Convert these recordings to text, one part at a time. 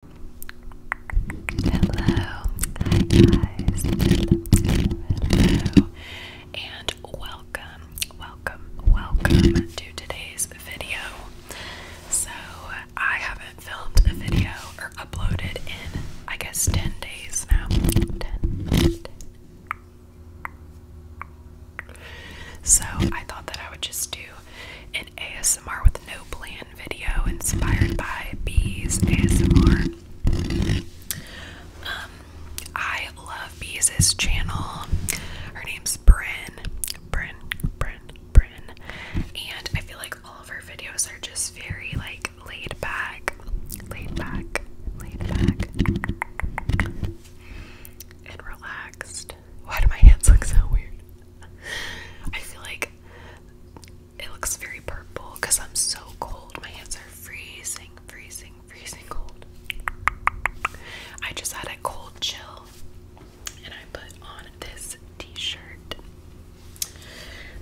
Hello, hi guys, hello, and welcome, welcome, welcome to today's video. So, I haven't filmed a video or uploaded in, I guess, 10 days now. 10, So, I thought that I would just do ASMR with no plan video inspired by bees ASMR. Um, I love Bees' channel. Her name's Bryn. Bryn, Bryn, Bryn. And I feel like all of her videos are just very like laid back. Laid back. Laid back. And relaxed. Why do my hands look so weird? I feel like it looks very purple because I'm so cold. My hands are freezing, freezing, freezing cold. I just had a cold chill and I put on this t-shirt.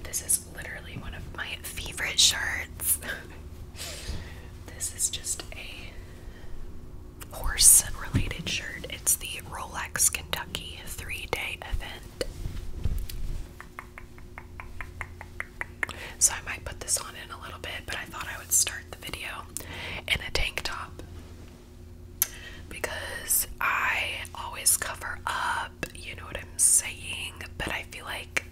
This is literally one of my favorite shirts. this is just a horse related shirt. It's the Rolex Kentucky three day event. So I might put this on in a little bit, but I thought I would start the video in a tank top because I always cover up, you know what I'm saying, but I feel like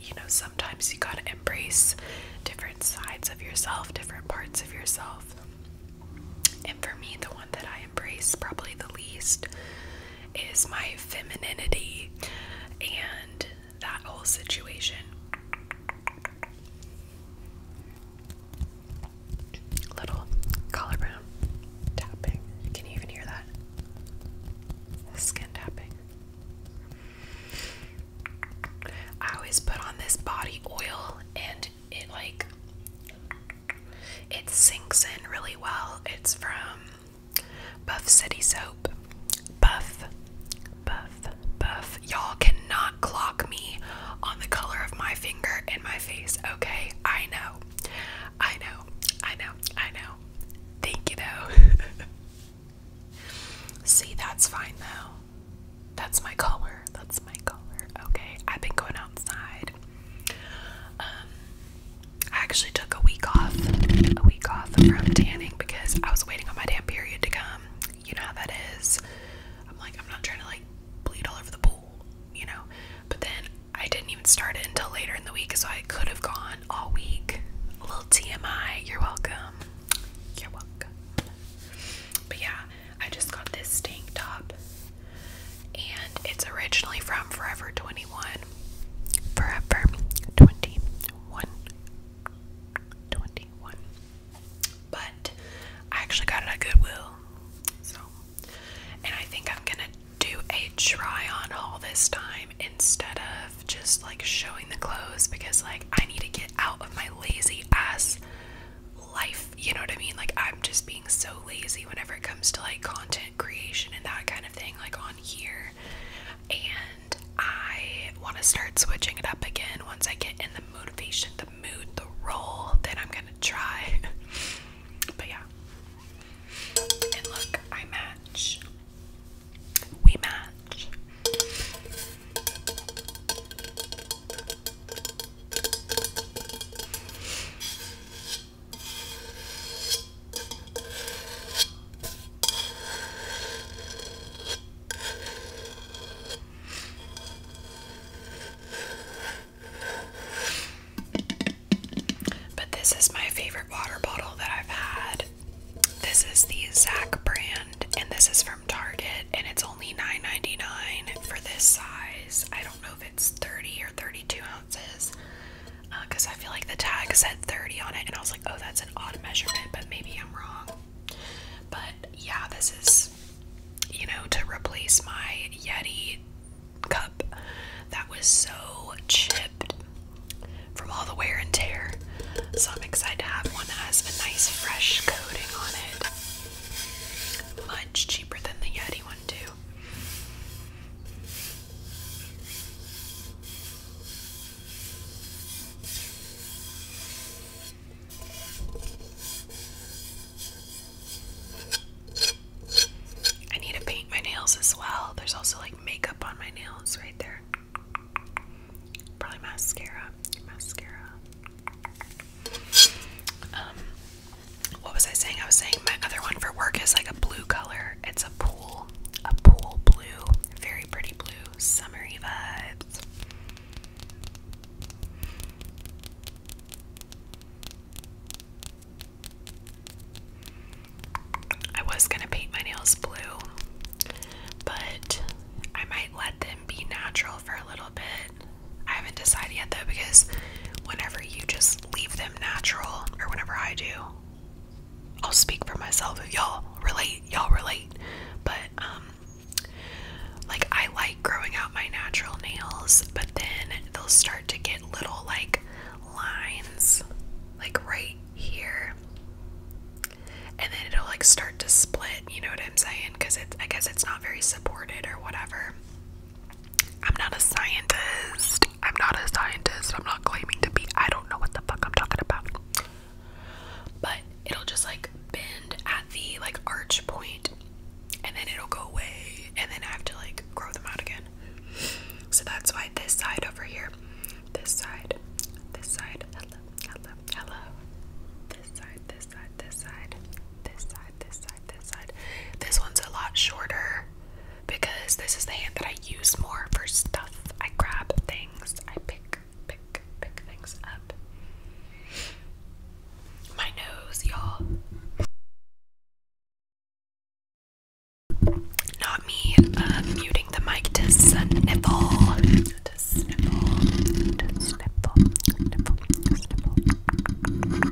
you know sometimes you got to embrace different sides of yourself, different parts of yourself. And for me, the one that I embrace probably the least is my femininity and that whole situation. Little collar tapping. Can you even hear that? Skin tapping. I always put on this body oil and it like it sinks in really well. It's from Buff City Soap. Buff, buff, buff. Y'all cannot clock me on the color of my finger and my face, okay? I know. I know. I know. I know. Thank you though. See, that's fine though. That's my color. That's my color. Okay. I've been going outside. Um, I actually took a week off, a week off from tanning because I was waiting on my damn period to come. You know how that is. I'm like, I'm not trying to like bleed all over the pool, you know. But then I didn't even start it until later in the week, so I could have gone all week. A little TMI. You're welcome. You're welcome. But yeah, I just got this tank top and it's originally from Forever 21. Forever 21. But I actually got it at Goodwill. So, and I think I'm gonna do a try on haul this time instead of just like showing the clothes because, like, I need to get out of my lazy ass life you know what I mean? Like, I'm just being so lazy whenever it comes to like content creation and that kind of thing, like on here. And I want to start switching it up again once I get in the motivation, the mood, the role, then I'm gonna try. but yeah. And look, I match. We match. But this is my favorite water bottle that I've had. This is the Zach brand, and this is from Target, and it's only $9.99 for this size. I don't don't know if it's 30 or 32 ounces because uh, I feel like the tag said 30 on it and I was like, oh, that's an odd measurement, but maybe I'm wrong. But yeah, this is, you know, to replace my Yeti cup that was so chipped from all the wear and tear. So I'm excited to have one that has a nice fresh coating on it. Much cheaper than the Yeti one, too. I need to paint my nails as well. There's also like makeup on my nails right there. Probably mascara. Mascara. Um, what was I saying? I was saying my other one for work is like a blue color. It's a pool, a pool blue, very pretty blue, summery vibes. I was gonna paint my nails blue, but I might let them be natural for a little bit. I haven't decided yet though because whenever you just leave them natural, or whenever I do. I'll speak for myself. If y'all relate, y'all relate. But um like I like growing out my natural nails, but then they'll start to get little like lines like right here. And then it'll like start to split, you know what I'm saying? Cuz it's I guess it's not very supported or whatever. I'm not a scientist. I'm not a scientist. I'm not claiming to be. I don't know what the fuck I'm talking about. But it'll just like bend at the like arch point and then it'll go away and then I have to like grow them out again. So that's why this side over here, this side, this side, hello, hello, hello, this side, this side, this side, this side, this side, this side. This one's a lot shorter because this is the hand that I use more for stuff. I grab things, I pick, pick, pick things up. My nose, y'all. Not me um, muting the mic to sniffle, to sniffle, to sniffle, sniffle,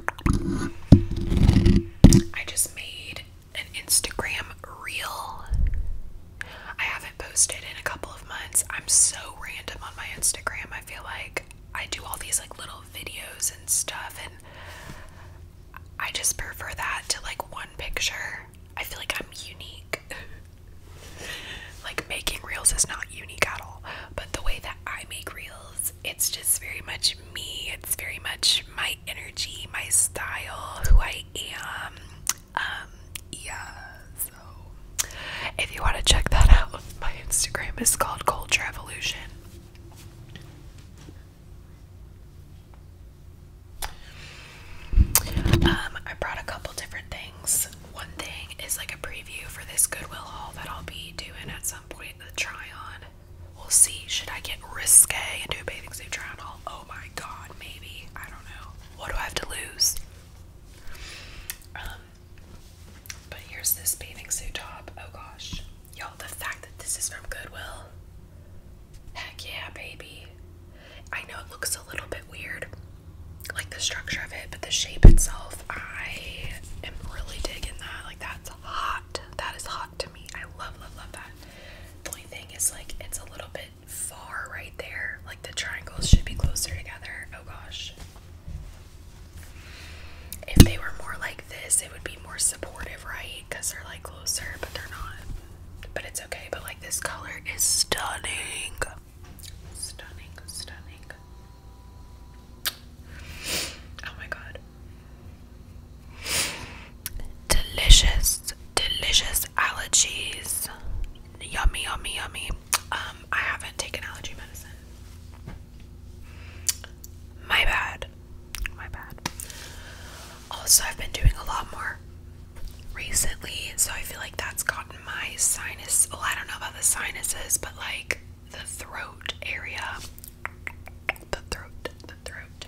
sniffle. I just made an Instagram reel. I haven't posted in a couple of months. I'm so random on my Instagram. I feel like I do all these like little videos and stuff and I just prefer that to like one picture. I feel like I'm unique. like making reels is not unique at all, but the way that I make reels it's just very much me. It's very much my energy, my style, who I am. Um, yeah, so if you want to check that out, my Instagram is called Culture Evolution. Um, I brought a couple different things. One thing is like a preview for this Goodwill haul that I'll be doing at some point, the try on. We'll see. Should I get risque and do a bathing suit try Oh my god, maybe. I don't know. What do I have to lose? Um, but here's this bathing suit top. Oh gosh. you the fact that this is from Goodwill. Heck yeah, baby. I know it looks a little bit weird, like the structure of it, but the shape itself, I am really digging that. Like, that's hot. That is hot to me. I love, love, love that. The only thing is, like, it's a little bit far right there. Like, the triangles should be closer together. Oh gosh. If they were more like this, it would be more supportive, right? Because they're like closer, but they're not. But it's okay. But like, this color is stunning. Stunning, stunning. Oh my god. Delicious, delicious allergies. Yummy, yummy, yummy. Um, I haven't taken allergy medicine. My bad. My bad. Also, I've been doing a lot more recently, so I feel like that's gotten my sinus. Oh, I don't know about the sinuses, but like the throat area the throat, the throat.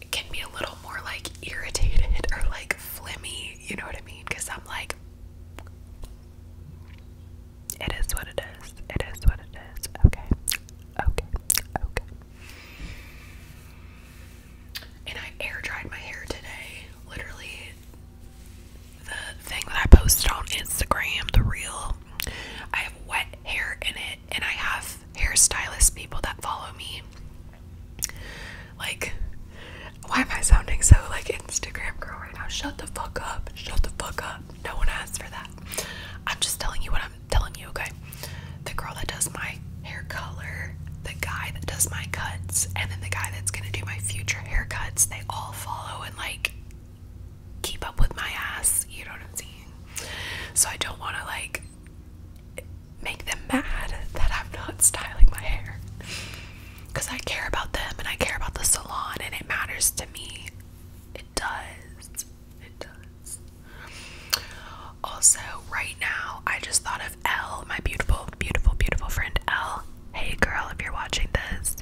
It can be a little more like irritated or like flimmy, you know what I mean? Because I'm like, it is what it is, it is what it is, okay, okay, okay. And I air dried my hair today, literally. The thing that I posted on Instagram, the real. I have wet hair in it and I have hairstylist people that follow me. Like why am I sounding so like Instagram girl right now? Shut the fuck up. Shut the fuck up. No one asked for that. I'm just telling you what I'm telling you, okay? The girl that does my hair color, the guy that does my cuts, and then the guy that's gonna do my future haircuts, they all follow and like keep up with my ass, you know what I'm saying? So I don't want to like make them mad that I'm not styling my hair because I care about them and I care about the salon and it matters to me. It does. It does. Also, right now, I just thought of Elle, my beautiful, beautiful, beautiful friend Elle. Hey girl, if you're watching this,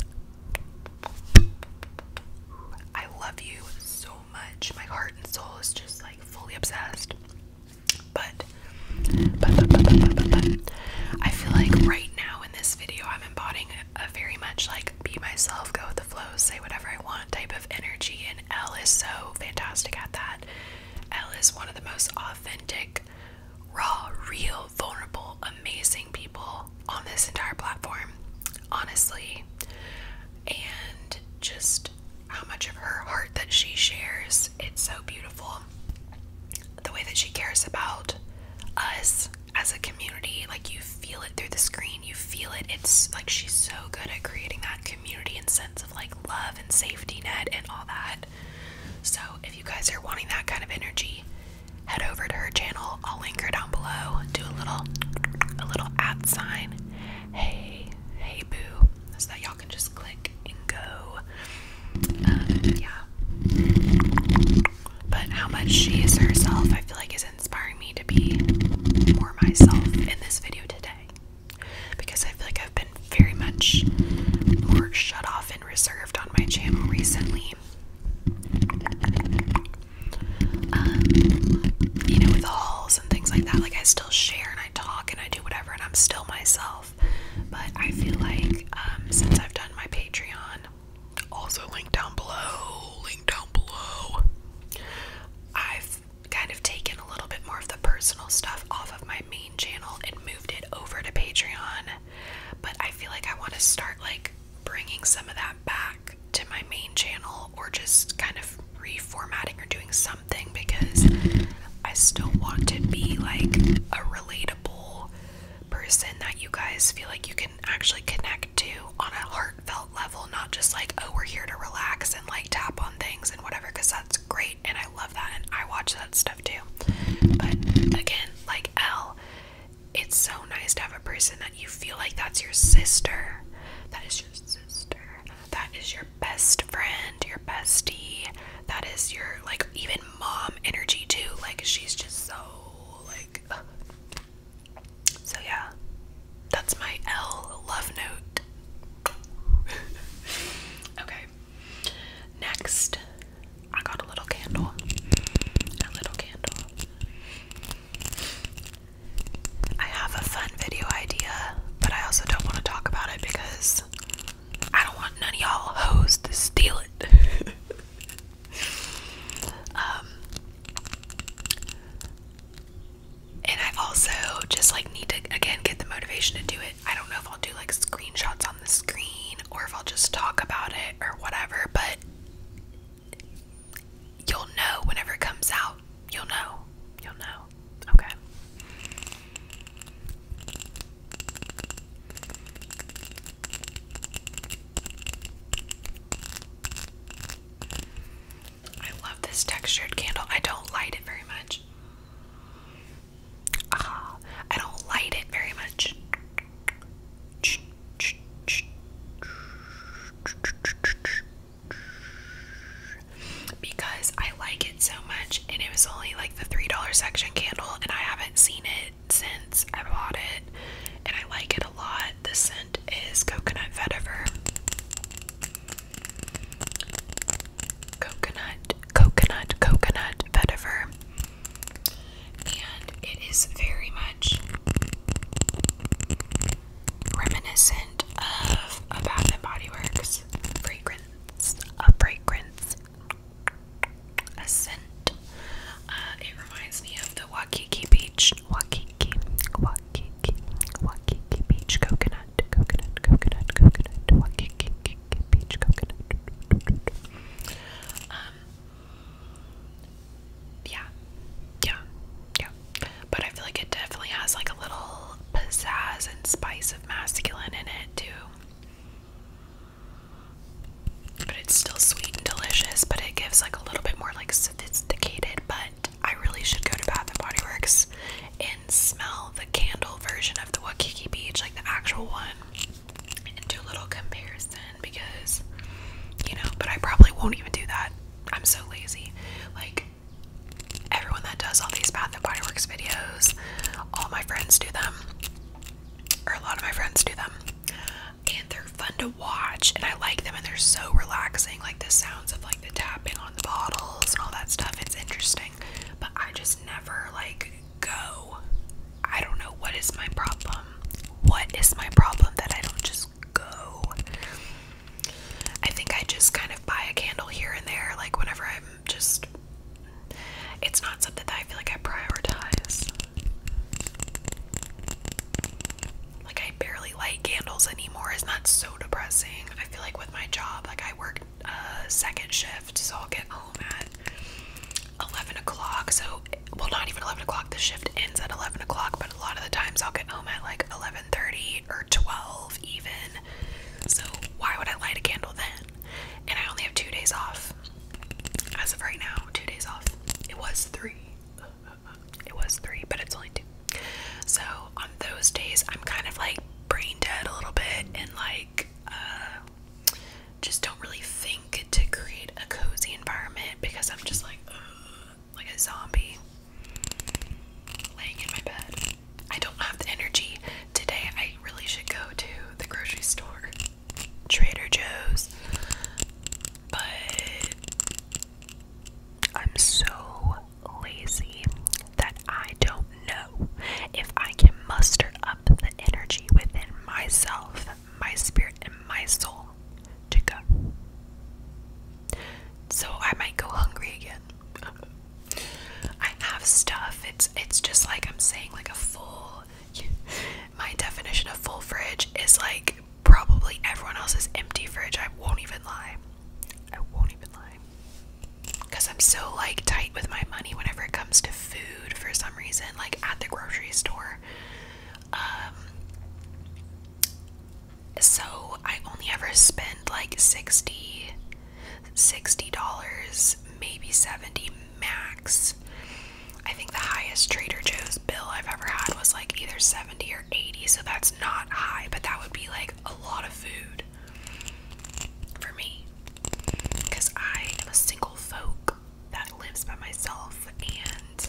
I love you so much. My heart and soul is just like fully obsessed. But I feel like right now in this video, I'm embodying a, very much like be myself, go with the flow, say whatever I want type of energy. And L is so fantastic at that. L is one of the most authentic, raw, real, vulnerable, amazing people on this entire platform, honestly, and just how much of her heart that she shares. It's so beautiful. The way that she cares about us as a community, like you feel it through the screen, you feel it. It's like she's so good at creating that community and sense of like love and safety net and all that. So, if you guys are wanting that kind of energy, head over to her channel. I'll link her down below. Do a little a little at sign. Hey, hey boo. So that y'all can just click and go. Um, yeah. But how much she is herself, I feel like is inspiring me to be more myself in this video today. Because I feel like I've been very much more shut off and reserved on my channel recently um, you know, with hauls and things like that. Like, I still share and I talk and I do whatever, and I'm still myself. But I feel like um, since I've done my Patreon, also linked down below, link down below, I've kind of taken a little bit more of the personal stuff off of my main channel and moved it over to Patreon. But I feel like I want to start like bringing some of that back to my main channel or just kind of reformatting or doing something because I still want to be like a relatable person that you guys feel like you can actually connect to on a heartfelt level, not just like, oh, we're here to relax and like tap on things and whatever, because that's great and I love that and I watch that stuff too. But again, like Elle, it's so nice to have a person that you feel like that's your sister that is your sister. That is your best friend, your bestie. That is your like even mom energy too. Like she's just so like So yeah. That's my L love note. okay. Next, I got a little candle. A little candle. I have a fun video idea, but I also don't want to talk about it because I don't want none of y'all hoes to steal it. um, and I also just like need to again get the motivation to do it. I don't know if I'll do like screenshots on the screen or if I'll just talk about it or whatever, but you'll know whenever it comes out. You'll know. You'll know. Okay. I love this textured candle. I don't light it very much. Ah, I don't light it very much because I like it so much, and it was only like the $3 section candle, and I haven't seen it since I bought it, and I like it a lot. The scent is coconut vetiver. Coconut, coconut, coconut vetiver. And it is very much reminiscent of a Bath and Body Works fragrance, a fragrance, scent. Uh, it reminds me of the Waikiki Beach, Waikiki, Waikiki, Waikiki Beach coconut, coconut, coconut, coconut, Waikiki Beach coconut. Um, yeah, yeah, yeah. But I feel like it definitely has like a little pizzazz and spice of masculine in it too. But it's still sweet and delicious, but it gives like a little bit more like sophisticated. But I really should go to Bath and Body Works and smell the candle version of the Waikiki Beach, like the actual one, and do a little comparison because you know, but I probably won't even do that. I'm so lazy. Like everyone that does all these Bath and Body Works videos, all my friends do them, or a lot of my friends do them, and they're fun to watch. And I like them, and they're so relaxing. Like the sounds of like the tapping on the bottles and all that stuff. It's interesting, but I just never like go. I don't know what is my problem. What is my problem that I don't just go? I think I just kind of buy a candle here and there, like whenever I'm just. It's not something that I feel like I prioritize. Like, I barely light candles anymore. It's not so depressing. I feel like with my job, like, I work a uh, second shift, so I'll get home at 11 o'clock. So, well, not even 11 o'clock. The shift ends at 11 o'clock, but a lot of the times I'll get home at like 11 Thirty or 12 even. So why would I light a candle then? And I only have two days off. As of right now, two days off. It was three. It was three, but it's only two. So on those days, I'm kind of like brain dead a little bit and like uh, just don't really think to create a cozy environment because I'm just like, like a zombie laying in my bed. I don't have the energy today. I really should go to the grocery store, Trader Joe's, but I'm so lazy that I don't know if I can muster up the energy within myself, my spirit, and my soul to go. So I might go hungry again. I have stuff. It's it's just like I'm saying like a full my definition of full fridge is like probably everyone else's empty fridge. I won't even lie. I won't even lie. Cuz I'm so like tight with my money whenever it comes to food for some reason like at the grocery store. Um, so I only ever spend like 60 60 dollars maybe 70 max I think the highest Trader Joe's bill I've ever had was like either 70 or 80 so that's not high but that would be like a lot of food for me because I am a single folk that lives by myself and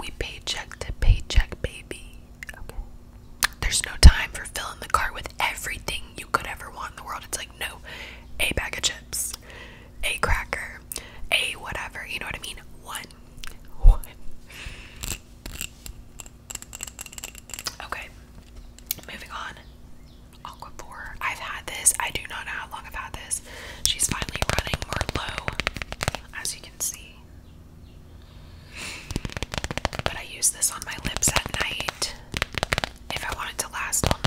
we paycheck to paycheck baby there's no time for filling the cart with everything you could ever want in the world. It's like, no, a bag of chips, a cracker, a whatever. You know what I mean? One. Okay. Moving on. Aquaphor. I've had this. I do not know how long I've had this. She's finally running more low, as you can see. But I use this on my lips at night if I want it to last all night.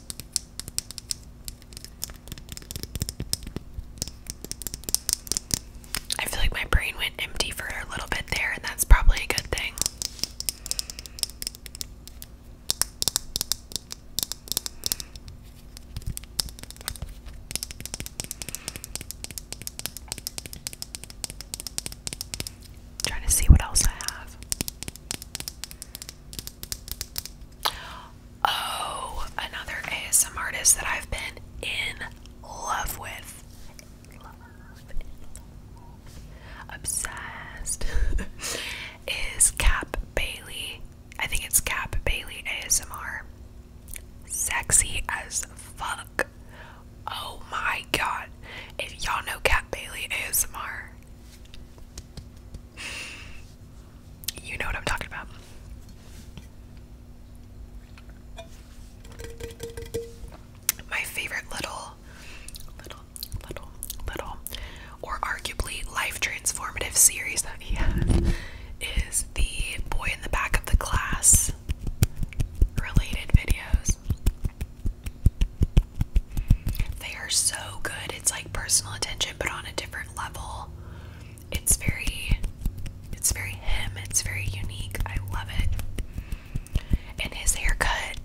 I feel like my brain went empty for a little bit there, and that's probably a good thing. trying to see what else I have. Oh, another ASM artist that I've been in love with. Obsessed. Is Cap Bailey. I think it's Cap Bailey ASMR. Sexy as fuck. Oh my god. If y'all know Cap Bailey ASMR, you know what I'm talking about. My favorite little, little, little, little, or arguably life transformative series that he has is the boy in the back of the class related videos. They are so good. It's like personal attention but on a different level. It's very it's very him. It's very unique. I love it. And his haircut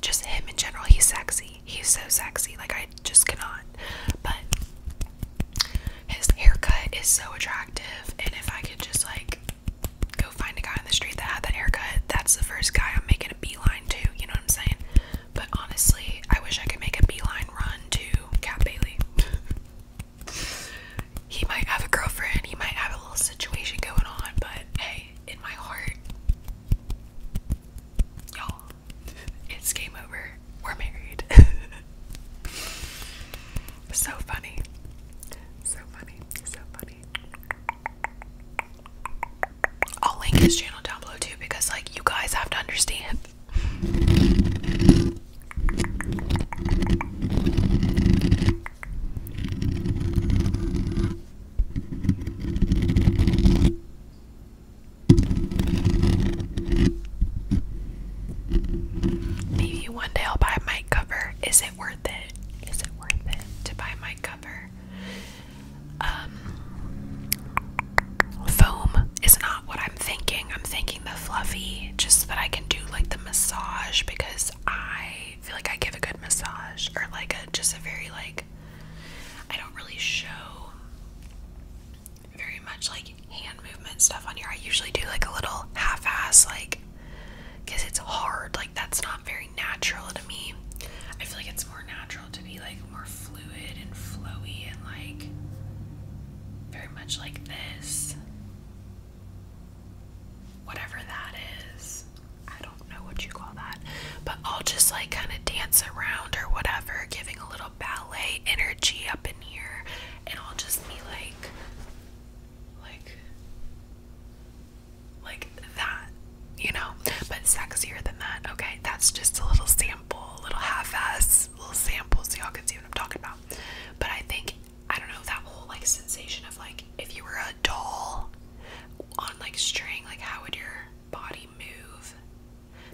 just him in general, he's sexy. He's so sexy. Like I just cannot. But his haircut is so attractive and if I could just like go find a guy on the street that had that haircut, that's the first guy I'm making a beeline to, you know I'm saying? But honestly, I wish I could make a beeline run to Cat Bailey. he might have a girlfriend, he might have a little situation going on, but hey, in my heart, y'all, it's game over. We're married. so funny. So funny. So funny. I'll link his channel down below too because like you guys have to understand. Maybe one day I'll buy a mic cover. Is it worth it? Is it worth it to buy a mic cover? Um, foam is not what I'm thinking. I'm thinking the fluffy, just that I can do like the massage because I feel like I give a good massage or like a just a very like I don't really show very much like hand movement stuff on here. I usually do like a little half ass like because it's hard like that's not very natural to me. I feel like it's more natural to be like more fluid and flowy and like very much like this. Whatever that is. I don't know what you call that. But I'll just like kind of dance around or whatever, giving a little ballet energy up in here. And I'll just be like, like, like that, you know, but sexier than that. Okay, that's just a little sample, little half-ass little sample so y'all can see what I'm talking about. But I think I don't know that whole like sensation of like if you were a doll on like string, like how would your body move?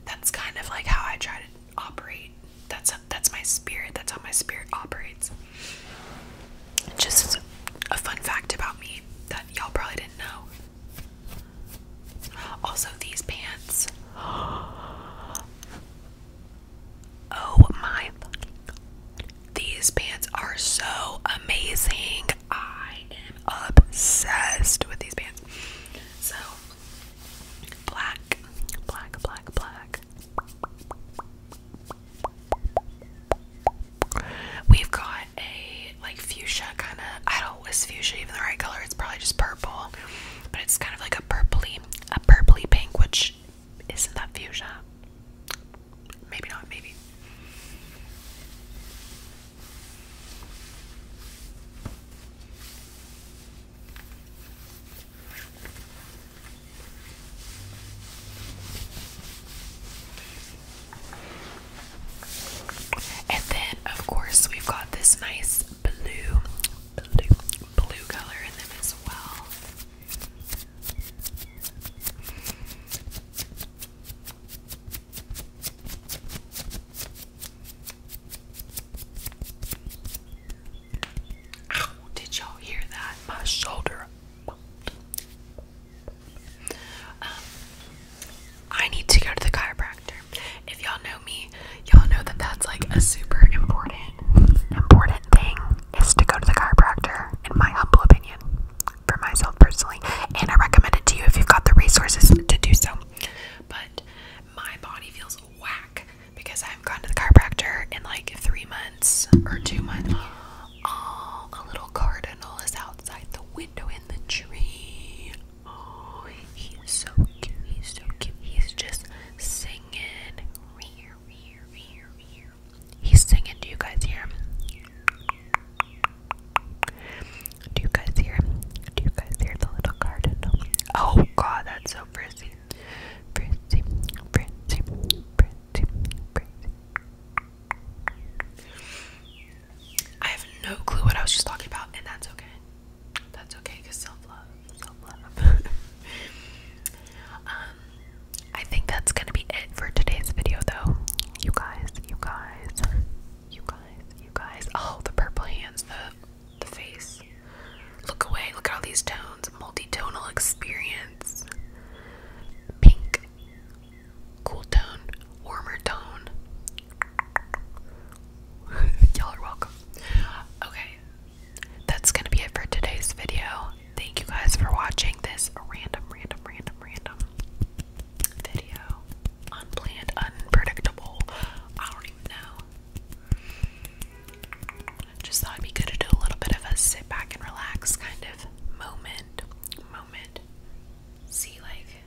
That's kind of like how I try to operate. That's that's my spirit. That's how my spirit operates. Just a fun fact about me that y'all probably didn't know. Also, these pants. Oh my. These pants are so amazing. I am obsessed with these pants. So, black, black, black, black. We've got a like fuchsia kind of. I don't wish fuchsia even the right color? It's probably just purple, but it's kind of like a purply, a purpley pink, which isn't that fuchsia? Maybe not. Maybe. And then, of course, we've got this nice blue, blue, color in them as well. did y'all hear that? My shoulder. Um, I need to go to the chiropractor. If y'all know me, y'all know that that's like a super important, important thing is to go to the chiropractor, in my humble opinion, for myself personally. And I recommend it to you if you've got the resources to do so. But my body feels whack because I have gone to the chiropractor in like three months or two months. a little cardinal is outside the window in the tree. Oh, he's so cute. He's so cute. He's just singing. He's singing. Do you guys hear Do you guys hear Do you guys hear the little cardinal? Oh god, that's so pretty. Pretty, pretty, pretty, pretty. I have no clue what I was just talking about, and that's okay. That's okay, cause self love, self love. um, I think that's gonna be it for today's video, though. You guys, you guys, you guys, you guys. Oh, the purple hands, the the face. Look away. Look at all these tones. Multi-tonal experience. Pink cool tone, warmer tone. Y'all are welcome. Okay, that's gonna be it for today's video. Thank you guys for watching this random, random, random, random video. Unplanned, unpredictable. I don't even know. Just thought it'd be good to do a little bit of a sit back and relax kind of moment. Moment. See, like,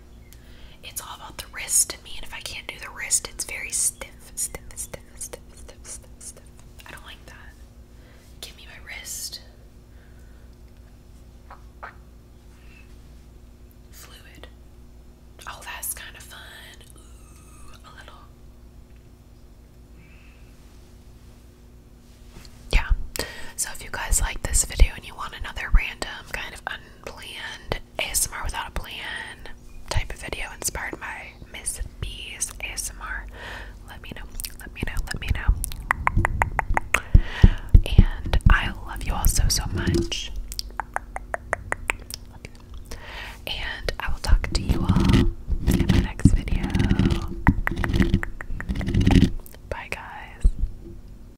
it's all about the wrist to me, and if I can't do the wrist, it's very stiff, stiff, stiff, stiff, stiff, stiff, stiff. I don't like that. Give me my wrist. Fluid. Oh, that's kind of fun. a little. Yeah. So if you guys like this video and you want another random kind of unplanned ASMR without a plan type of video inspired by Miss B's ASMR, let me know. Let me know. Let me know. And I love you all so so much. And I will talk to you all in my next video. Bye guys.